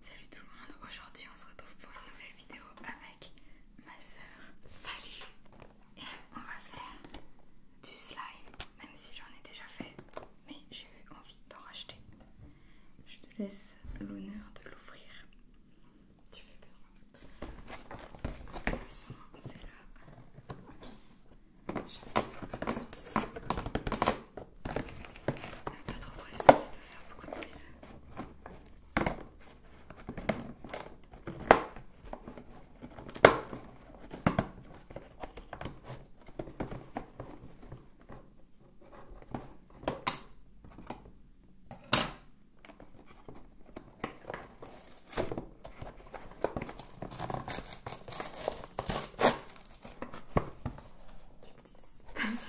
Salut tout le monde, aujourd'hui on se retrouve pour une nouvelle vidéo avec ma soeur. Salut Et on va faire du slime, même si j'en ai déjà fait, mais j'ai eu envie d'en racheter. Je te laisse l'honneur de l'ouvrir. Tu fais peur. Le son, c'est là pas trop près, faire beaucoup de bruit Thank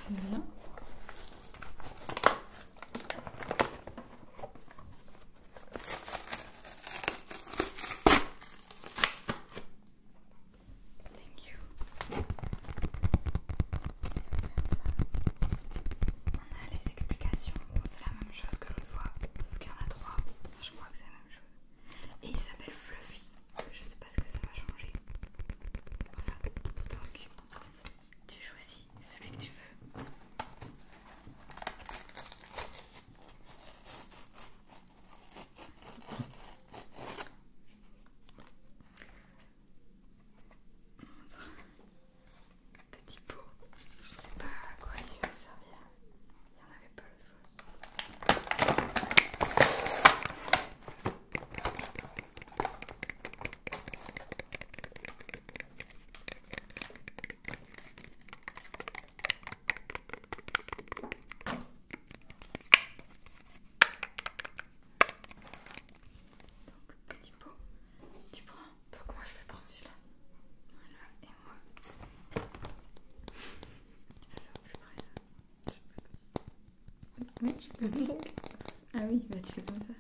On a les explications, c'est la même chose que l'autre fois, sauf qu'il y en a trois. Je crois que c'est la même chose. Et il s'appelle Fluffy je sais pas ce que ça va changer. Voilà, donc tu choisis celui que tu veux. Petit pot, je sais pas à quoi il va servir. Il n'y en avait pas l'autre fois le petit pot, tu prends. Donc, moi je vais prendre celui-là. Voilà, et moi. Alors, je prends ça. Ah oui, bah tu fais comme ça.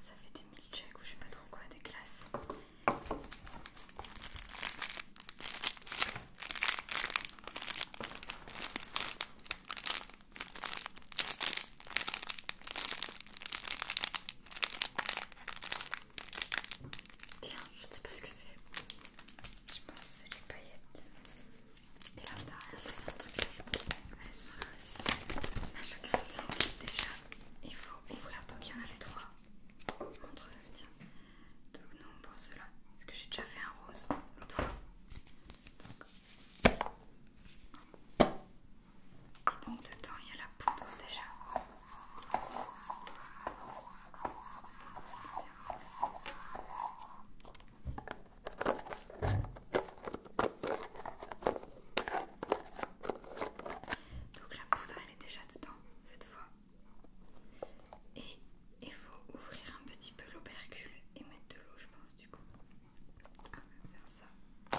Ça fait des milkshakes ou je sais pas trop quoi, des glaces. Tiens, je sais pas ce que c'est. Je pense que c'est les paillettes. Et là, derrière les instructions, je pense qu'elles sont là aussi. À chaque version, déjà, il faut ouvrir. Donc il y en avait trois. Montre, tiens. Donc nous, on prend cela. Parce que j'ai déjà fait un rose l'autre fois. Et donc dedans il y a la poudre déjà. Donc la poudre elle est déjà dedans cette fois. Et il faut ouvrir un petit peu l'aubercule et mettre de l'eau je pense du coup. On va faire ça.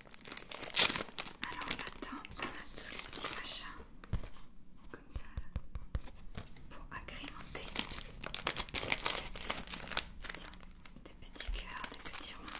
Alors on attend, on a tous les petits machins comme ça pour agrémenter. des petits cœurs, des petits ronds.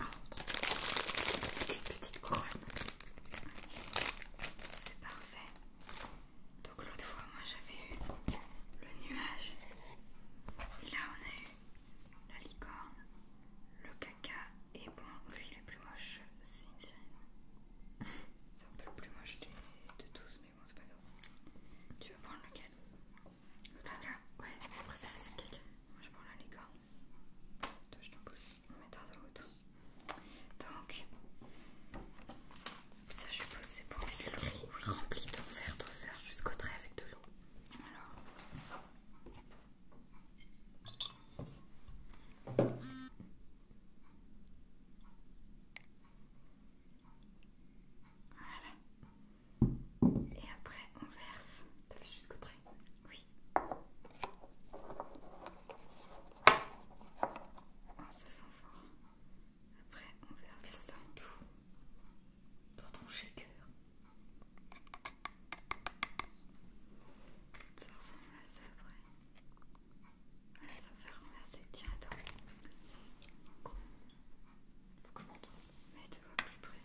Oh, une petite C'est parfait. Donc l'autre fois, moi j'avais eu le nuage. Et là, on a eu la licorne, le caca. Et bon, lui il est plus moche, c'est une C'est un peu le plus moche de tous, mais bon, c'est pas grave. Tu veux prendre lequel Le caca Ouais, je préfère c'est le caca. Moi je prends la licorne. Attends, je t'en pousse. on mettra dans l'autre. Donc, ça je suppose c'est pour le riz Oui, remplis ton verre doseur jusqu'au trait avec de l'eau. Alors. Voilà. Et après on verse. T'as fait jusqu'au trait Oui. Ah, ça sent fort. Après, on verse sent tout dans ton shaker. Ça ressemble à ça après. Elle s'en fait renverser. Tiens, attends. Faut que je m'entende. Mais tu vois plus près.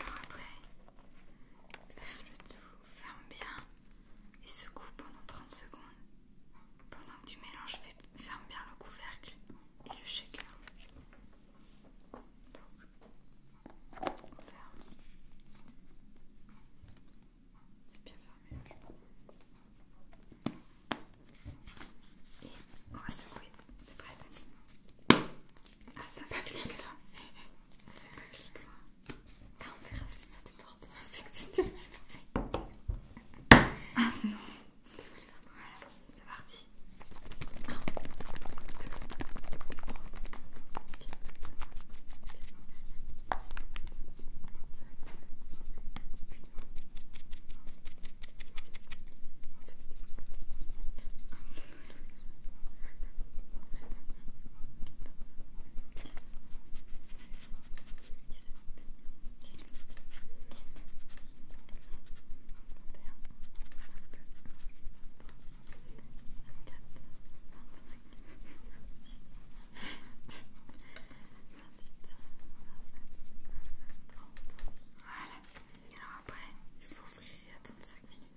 Alors après, verse le tout, ferme bien et secoue pendant 30 secondes. Pendant que tu mélanges, ferme bien le couvercle et le shaker. C'est bien fermé, Et on va secouer. C'est prête ah, ça va toi. Ça on ça te porte, c'est Ah, c'est bon. c'est parti. Voilà. Alors après, il faut ouvrir et attendre minutes.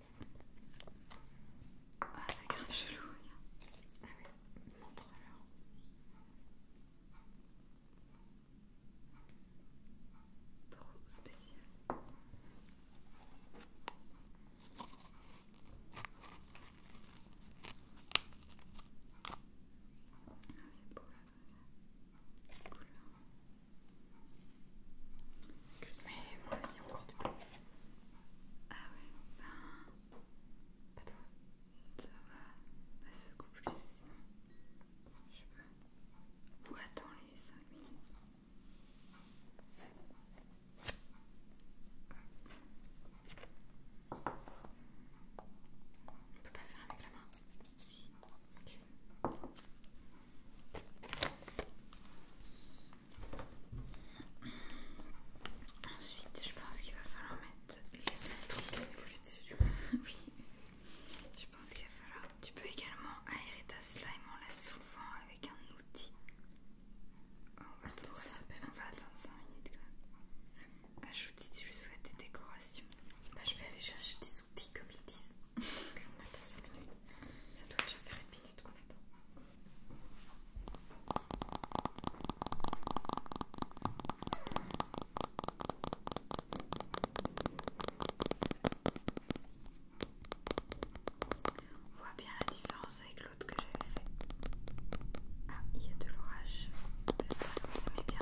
Ah, c'est grave chelou, regarde. Ah oui, montre-leur. Trop spécial. Ah, c'est beau là, comme ça. Mais moi, il y a encore du Ah ouais, ben... Pas toi. Ça va, pas secoue plus Je sais pas. Ou attends les 5 minutes. On peut pas faire avec la main Ok. Ensuite, je pense qu'il va falloir mettre les cendres dessus. oui, je pense qu'il va falloir. Tu peux également aérer ta slime en la soulevant avec un outil. On va attendre, ça. On va attendre 5 minutes quand même. Ajoute si tu lui souhaites des décorations. Bah, je vais aller chercher des outils comme ils disent on attend 5 minutes. Ça doit déjà faire une minute qu'on attend. On voit bien la différence avec l'autre que j'avais fait. Ah, il y a de l'orage. J'espère que vous aimez bien.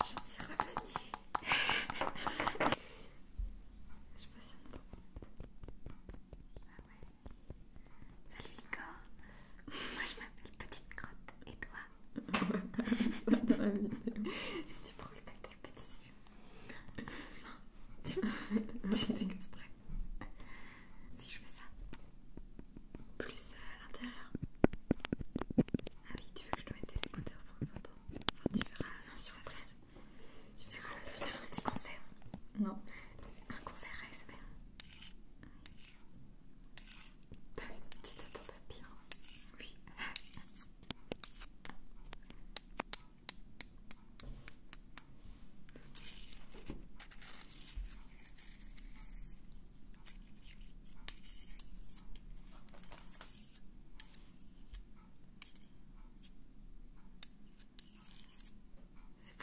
Je suis revenue. Je suis ah Salut Licorne. Moi je m'appelle Petite Grotte et toi ça dans la vidéo. tu prends le paquet de pâtissier. Tu petit extrait. Si je fais ça, plus à l'intérieur. Ah oui, tu veux que je te mette des écouteurs pour que t'entendre Enfin, tu verras la surprise. Tu verras la surprise. Un petit concert. Non. Un concert ASMR. Bah, tu t'attends pas bien. Oui. C'est pour la fin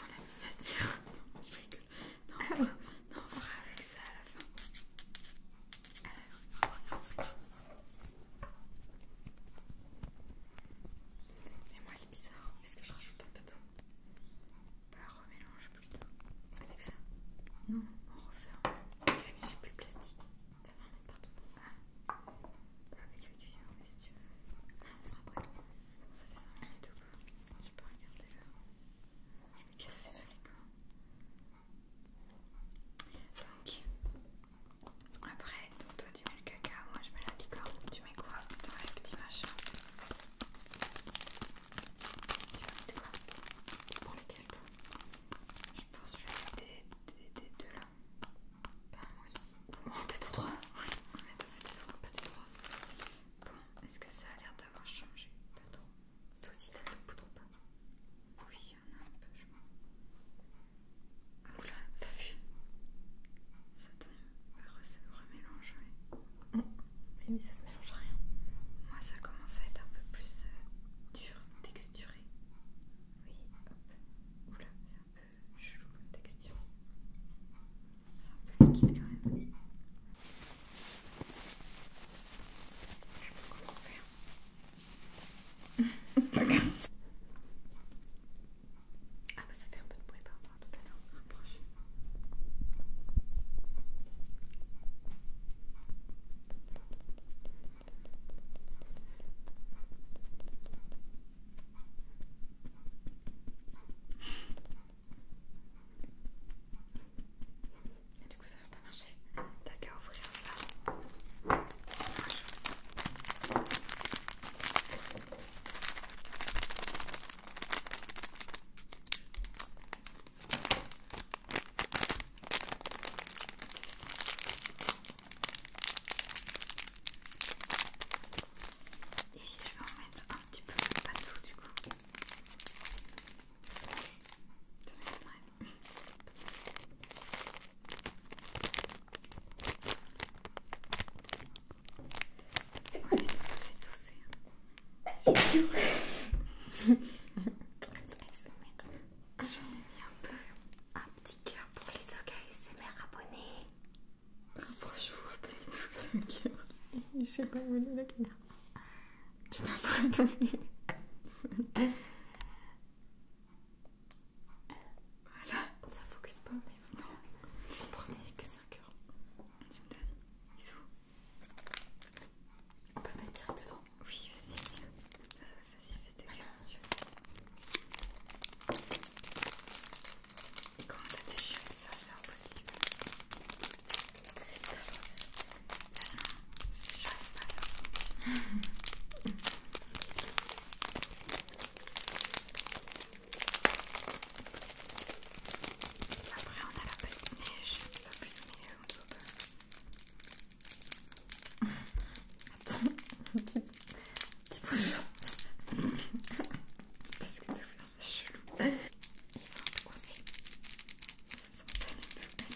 Non, je Non, on avec ça à la fin. Mais moi, il est bizarre. Est-ce que je rajoute un peu d'eau Bah, remélange plutôt. Avec ça Non, on referme. Ah, mais j'ai plus le plastique. Ça va remettre partout dans ça. Bah, avec le cuir, mais si tu veux. Ah, on fera après. Bon, ça fait 5 minutes ou quoi Je peux regarder là. Je vais casser sur les coins. Donc, après, toi tu mets le caca, moi je mets la licorne. Tu mets quoi dans les petits machins Tu Pour lesquels Je pense que je vais des, là. moi aussi. est Bon, est-ce que ça a l'air d'avoir changé Toi aussi poudre pas Oui, y en a un peu, je pense. Oula, ça pue. Ça tombe, se remélange, hum. oui. Mais ça se mélange rien. Moi, ça commence à être un peu plus euh, dur, texturé. Oui, hop. Oula, c'est un peu chelou comme texture. C'est un peu liquide quand même. Je peux pas ah bah ça fait un peu de bruit par rapport à tout à l'heure. Et du coup, ça va pas marcher. T'as qu'à ouvrir ça. Ah, et je vais en mettre un petit peu, de tout du coup. Ça se mange, ça m'étonnerait. C'est bon, elle fait tousser. C'est cool. C'est très très smirre. J'en ai mis un peu. Un petit cœur pour les soccailles smirre abonnés. Je vous rappelle tous ces cœurs. Je n'ai pas voulu le dire. Tu m'as pas voulu. Voilà. Ça focus pas, mais vous non. prenez que 5 heures. Tu me donnes Ils sont On peut mettre direct dedans Oui, vas-y, si tu Vas-y, fais tes voilà. si tu veux. Et comment t'as déchiré ça C'est impossible. C'est le talent si j'arrive Après, on a la petite neige, la plus milieu on peut Attends, petit, petit C'est Parce que t'as ouvert, c'est chelou. Ils sont coincés. Ils se sont pas tout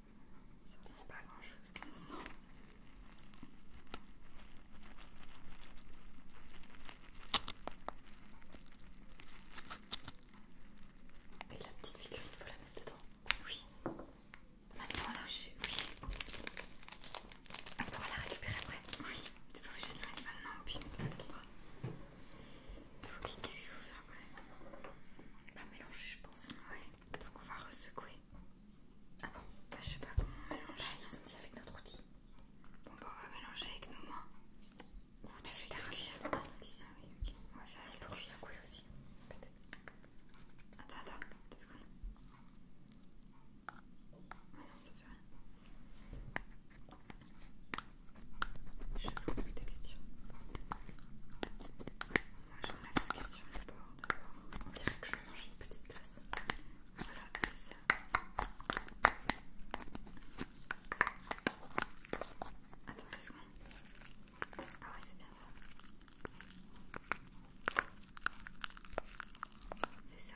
Ça ressemble pas grand chose pour l'instant. Et la petite figurine, il faut la mettre dedans. Oui. Maintenant là, Oui. On pourra la récupérer après. Oui. T'es pas obligé de la mettre maintenant, puis on attendra. Qu'est-ce qu'il faut faire après pas mélangé je pense. Oui. Donc on va ressecouer. Ah bon bah, je sais pas comment mélanger. Bah, ils sont ici avec notre outil. Bon bah on va mélanger avec nos mains. Ou tu fais ta cuillère. On va faire avec Pour secouer aussi. Peut-être. Attends, attends, deux secondes. non, ça fait rien. Je texture je me mets la casquette sur le bord d'abord. On dirait que je vais manger une petite glace. Voilà, c'est ça. Attends deux secondes. Ah ouais, c'est bien ça. Ah, c'est ça.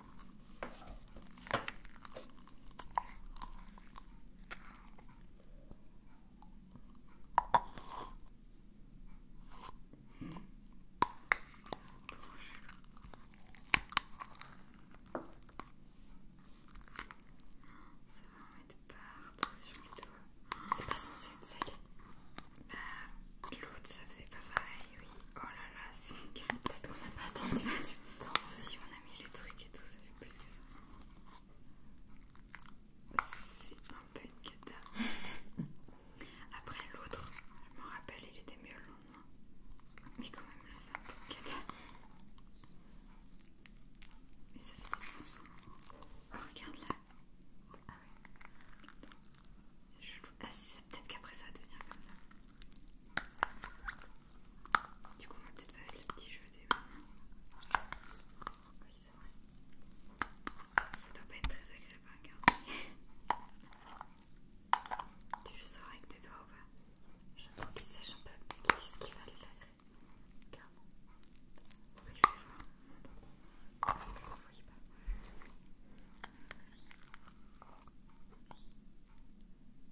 Ça va en mettre partout sur les doigts. C'est pas censé être sec. Euh, l'autre ça faisait pas pareil, oui. Oh là là, c'est une Peut-être qu'on n'a pas attendu Si on a mis les trucs et tout, ça fait plus que ça. C'est un peu une cata. Après l'autre, je me rappelle, il était mieux le lendemain. Mais quand même, là, c'est un peu une cata. Mais ça fait des bons oh, regarde là. Ah ouais. C'est chelou. Ah, c'est peut-être qu'après ça va devenir comme ça. Du coup, on va peut-être faire avec petits petits des mains. Oui, c'est vrai. Ça doit pas être très agréable regarde. Tu sors avec tes doigts ou pas J'attends qu'ils sachent un peu ce qu'ils veulent faire. Regarde. Oui, je vais voir. Parce que ne pas.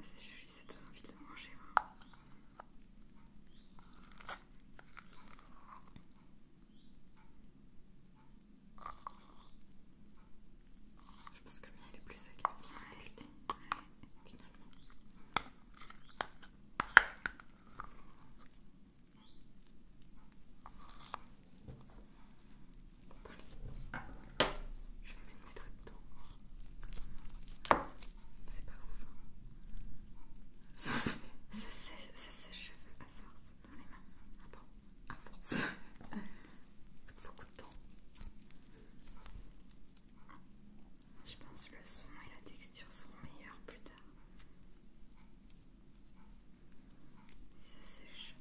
C'est joli, cette envie de le manger. Je pense que le mien est plus sec parler. Je vais mettre mes doigts dedans. C'est pas ouf. Ça, sèche, à force dans les mains. Ah bon À force. Ça beaucoup de temps. Je pense que le son et la texture seront meilleurs plus tard. Ça sèche,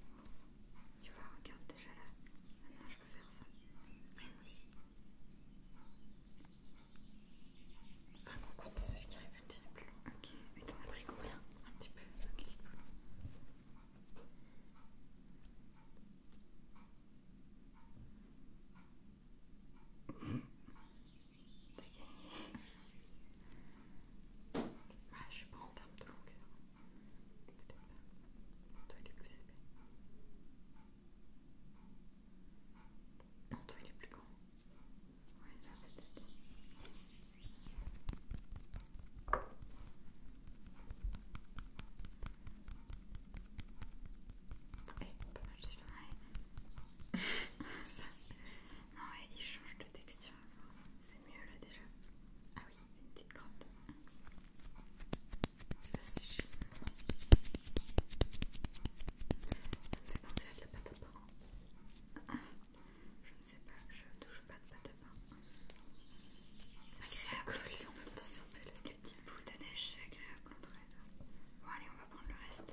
tu vois, regarde déjà là. Maintenant, je peux faire ça. Oui, moi aussi. Par contre, celui qui arrive à tirer plus loin. Ok, mais t'en as pris combien Un petit peu. Ok, T'as gagné. Ouais, ah, je suis pas en termes de longueur pas. Toi, il est plus épais. Non, toi, il est plus grand. Ouais, là, peut-être. Eh, pas mal déjà. Ça. Non, ouais, il change de texture à C'est mieux là déjà oui, une petite crotte. de main. Ça me fait penser à de la pâte à pain. Je ne sais pas, je touche pas de pâte à pain. Ça agréable. Ah, en même temps Les petites boules de neige, c'est agréable entre Bon allez, on va prendre le reste.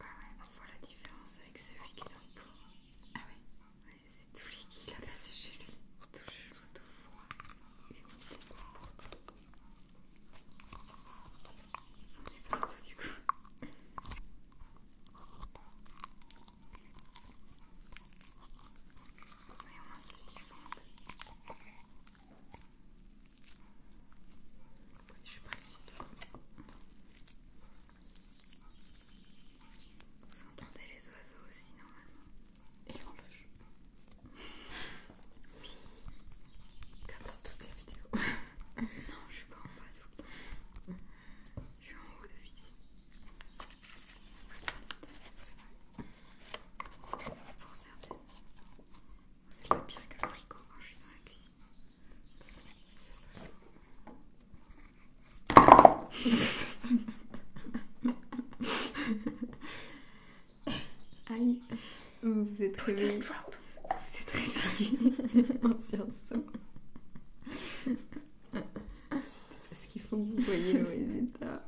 Ah ouais, on voit la différence avec celui qui est dans le Ah ouais, c'est tout liquide à chez lui. Tout chelou, tout froid, humide. Ça en partout du coup. On a moins c'est du sang. Je suis Vous entendez les oiseaux aussi normalement Et l'horloge Oui Comme dans toutes les vidéos Non je ne suis pas en bas tout le temps Je suis en haut de vidéo Sauf pour certaines c'est le pire que le frigo quand je suis dans la cuisine. Aïe, vous êtes réveillé. Vous êtes réveillé en sursaut. C'est parce qu'il faut que vous voyez le résultat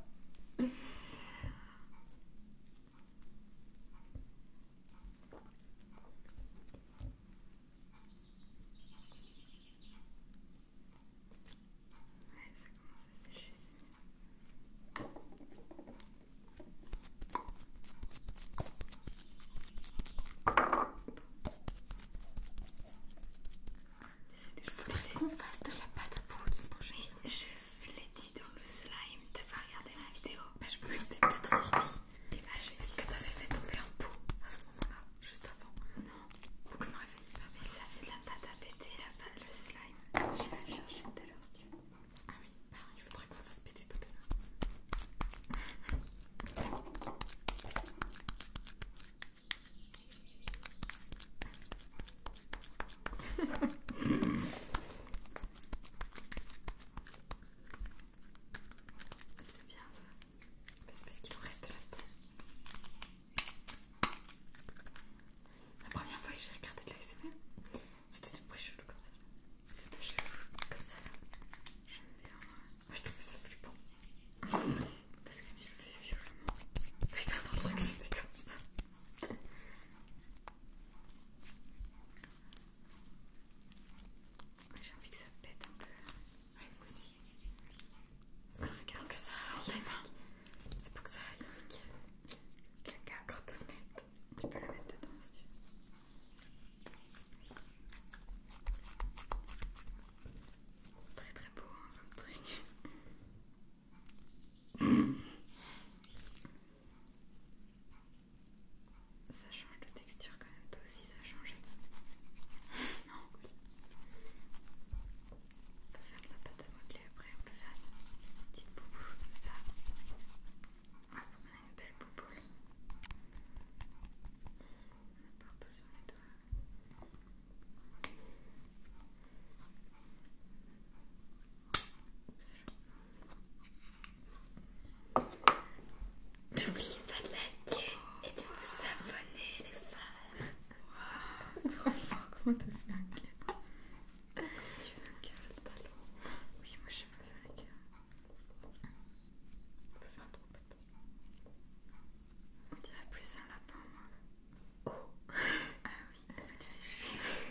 ça commence à sécher, c'est des Désolée, je de la pâte à poudre. manger je l'ai dans le slime, t'as pas regardé ma vidéo Bah je me suis peut-être endormie. Et bah j'ai ça que t'avais fait tomber un pot à ce moment-là, juste avant. Non, que je m'en réveille pas. Mais ça fait de la pâte à péter, la pâte, le slime. J'ai la tout à l'heure si Ah oui, bah, il faudrait qu'on fasse péter tout à l'heure. C'est bien ça. C'est parce qu'il en reste là-dedans. La première fois que j'ai regardé de l'ASMR, c'était des chelou comme ça. C'est pas chelou comme ça là. J'aime bien. Moi je trouvais ça plus bon. Parce que tu le fais violemment. Oui, pas le truc c'était comme ça. J'ai envie que ça pète un peu. moi aussi. que ça C'est pour que ça aille. Quelqu'un encore tout net. Tu peux le mettre dedans si tu veux. Très très beau un hein, comme truc. Ça change de texture quand même, toi aussi ça a changé. non, On peut faire de la pâte à modeler après, on peut faire une petite bouboule comme ça. Ouais, ah, on a une belle bouboule. partout sur les doigts. N'oubliez pas de liker et de vous abonner les fans. Wow, trop fort, comment te fait un cœur Tu veux un cœur sur le talon Oui, moi je peux faire un cœur. On peut faire un trompette. On dirait plus un lapin moi. Oh Ah oui, elle fait tu fais chier.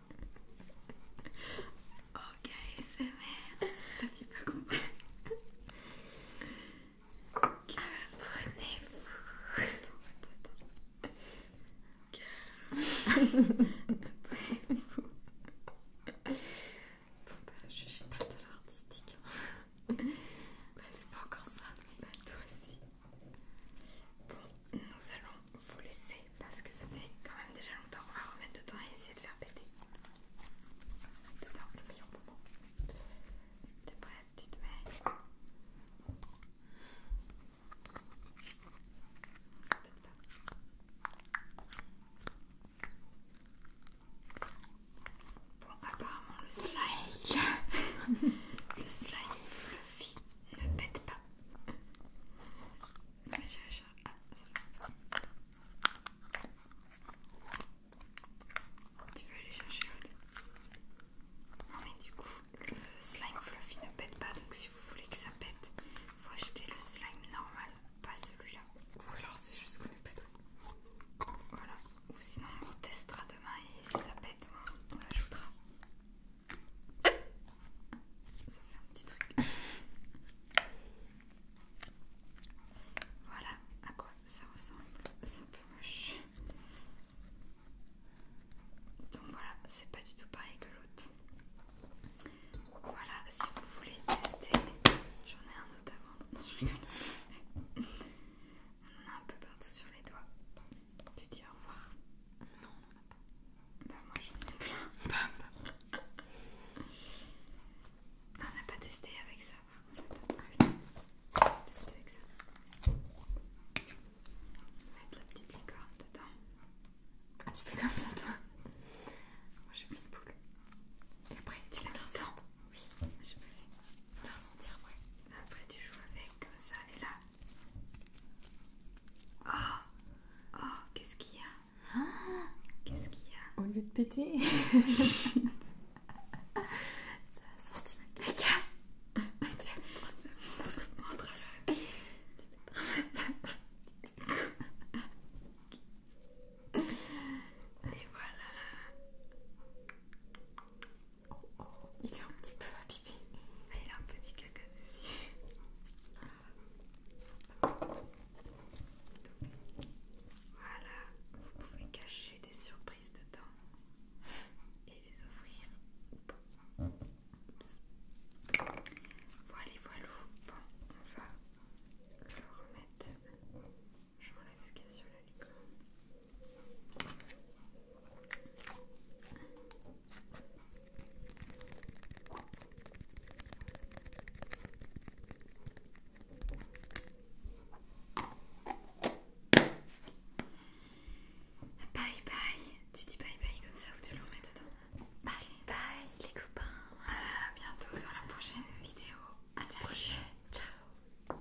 ok, c'est merde, ça fait pas compris. Que vous Attends, attends, attends. Que vous Bon bah, je suis pas le l'art artistique. Hein. Bah, c'est pas encore ça, mais bah, toi aussi. Bon, nous allons vous laisser parce que ça fait quand même déjà longtemps. On va remettre dedans et essayer de faire péter dedans le meilleur moment. T'es prête Tu te mets Ça pète pas. Bon, apparemment, le slime, le slime fluffy ne pète pas. Mais tu veux aller chercher l'autre Non mais du coup, le slime fluffy ne pète pas, donc si vous voulez que ça pète, il faut acheter le slime normal, pas celui-là. Ou alors c'est juste qu'on est Voilà. Ou sinon on retestera demain et si ça pète, on l'ajoutera. Ça fait un petit truc. Voilà à quoi ça ressemble. C'est un peu moche. Donc voilà, c'est pas du tout pareil que l'autre. Voilà, si vous voulez tester, j'en ai un autre avant. Non, On en a un peu partout sur les doigts. Tu dis au revoir. Bah, moi j'en ai bah, bah. On n'a pas testé avec ça, par contre. On va tester avec ça. On va mettre la petite licorne dedans. Ah, tu fais comme ça, toi Moi j'ai mis une boule. après, tu la ressentes Oui, je peux Faut la ressentir, après. Bah, après, tu joues avec comme ça, est là. Ah. Oh, oh, qu'est-ce qu'il y a ah, qu'est-ce qu'il y a Au lieu de péter. Ça a sorti ma caca. Montre-le. Et voilà. Oh, oh il a un petit peu à pipi. il a un peu du caca dessus voilà, vous pouvez cacher des surprises dedans et les offrir. Voilà Voilà, voilà. Bon, on va le remettre. Je m'enlève ce qu'il y a sur la licorne. Bye bye, tu dis bye bye comme ça ou tu le remets dedans Bye bye les copains, à bientôt dans la prochaine vidéo. À la prochaine, ciao